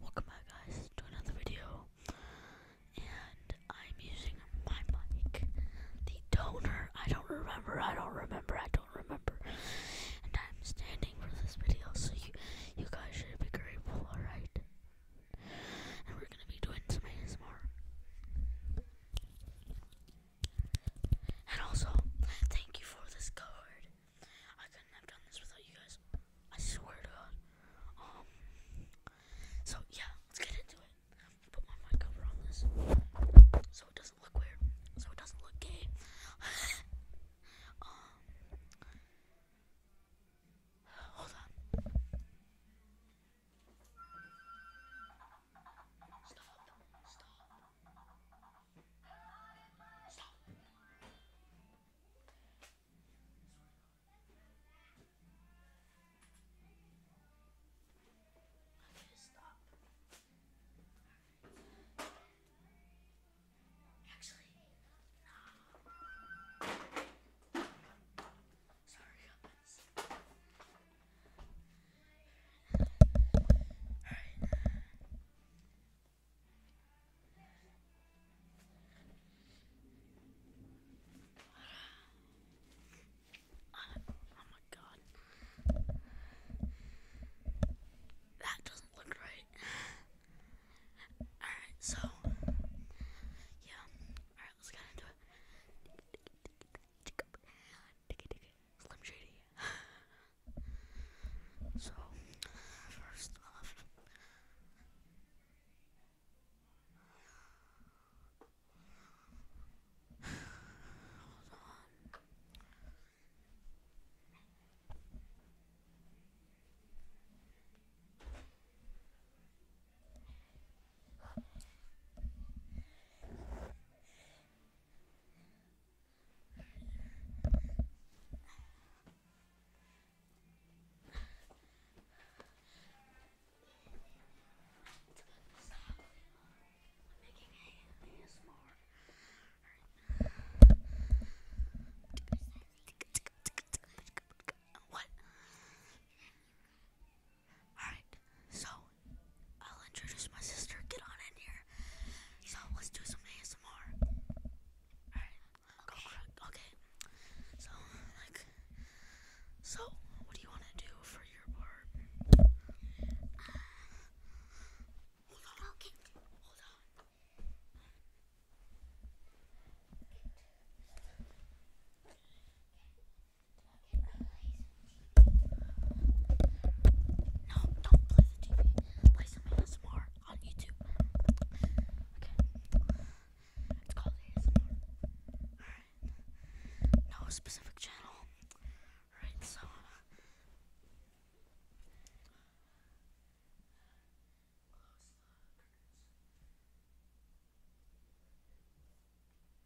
Welcome back guys to another video and I'm using my mic, the toner, I don't remember, I don't remember, I don't remember and I'm standing for this video so you, you guys should be grateful, alright? And we're gonna be doing some ASMR. And also, thank you for this card. I couldn't have done this without you guys. I swear to God. Um, so yeah, let's get into it. put my mic over on this, so it doesn't look weird. So it doesn't look gay. Um, hold on. Stop. Stop. Stop. Okay, stop. Actually, no. Sorry, comments. Alright. Oh, my god. That doesn't look right. Alright, so. Yeah. Alright, let's get into it. Slim Shady. So, first off, hold on. What? Alright, so I'll introduce my sister. Get on in here. So let's do some ASMR. Alright. Okay. So like so what do you wanna do for your part? Uh, hold on. Okay. Hold on. No, don't play the TV. Play some ASMR on YouTube. Okay. It's called ASMR. Alright. No specific channel. Alright, so. Close the curtains.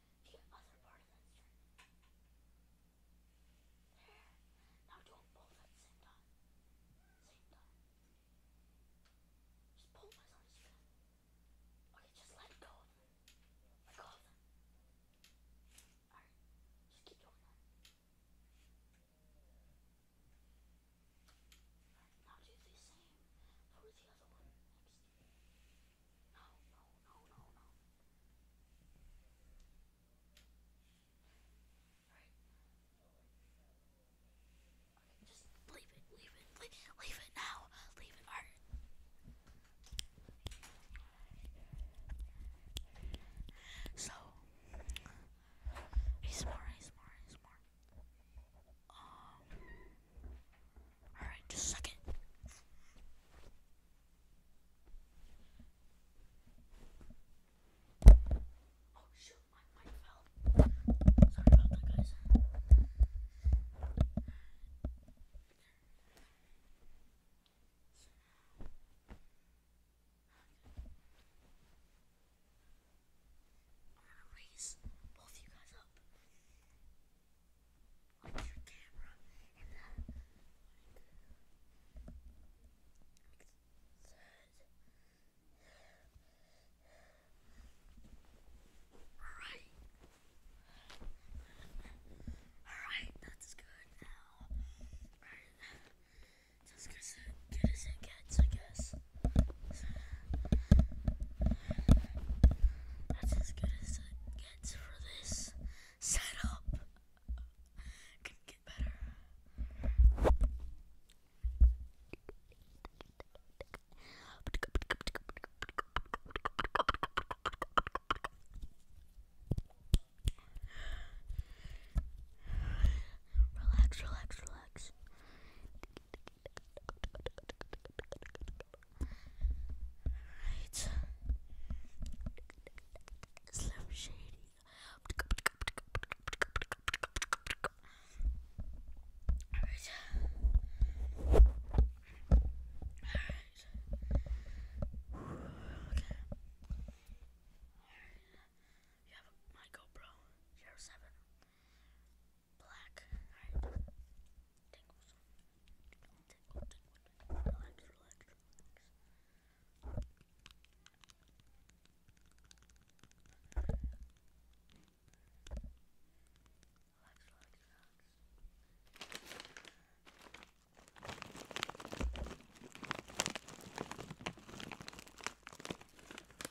the other part of that string. There. Now do them both at same time. Same time. Just pull myself as you Okay, just let go of them. Let go of them. Alright. Just keep doing that. Alright, now do the same for the other one just leave it, leave it, leave, leave it now. Leave it, Art. So, he's more, he's more, he's more. Um. Alright, just a second. Oh shoot, my mic fell. Sorry about that, guys. Okay. I'm gonna raise both you guys up. Like your camera and the Alright. Alright, that's good now. Alright. Just as good as it gets, I guess. That's as good as it gets for this setup. Can get better. Relax, relax, relax. Alright. Slim Shady. Alright. Alright. Okay. Alright. You have a, my GoPro zero seven Black. Alright. Tingles. Tingle, tingle, tingle. Relax, relax, relax. Relax, relax, relax.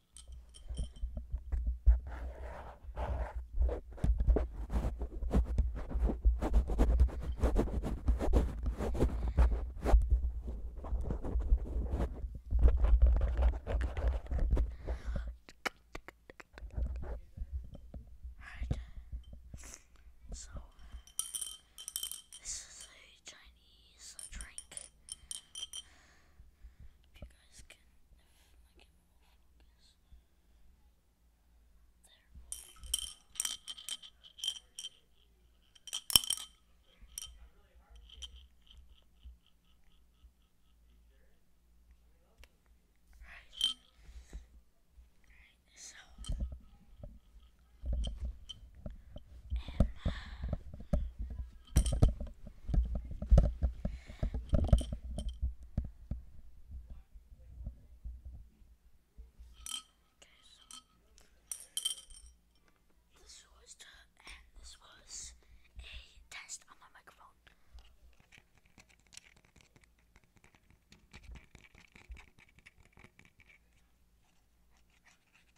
Right. So, this is a Chinese drink. If you guys can, if I can focus. There. Right. Right. So this was a test on my microphone. Alright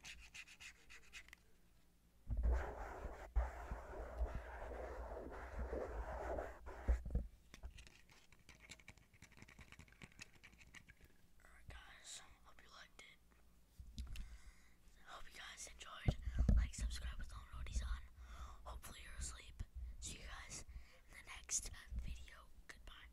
guys, hope you liked it. Hope you guys enjoyed. Like, subscribe with all noties on. Hopefully you're asleep. See you guys in the next video. Goodbye.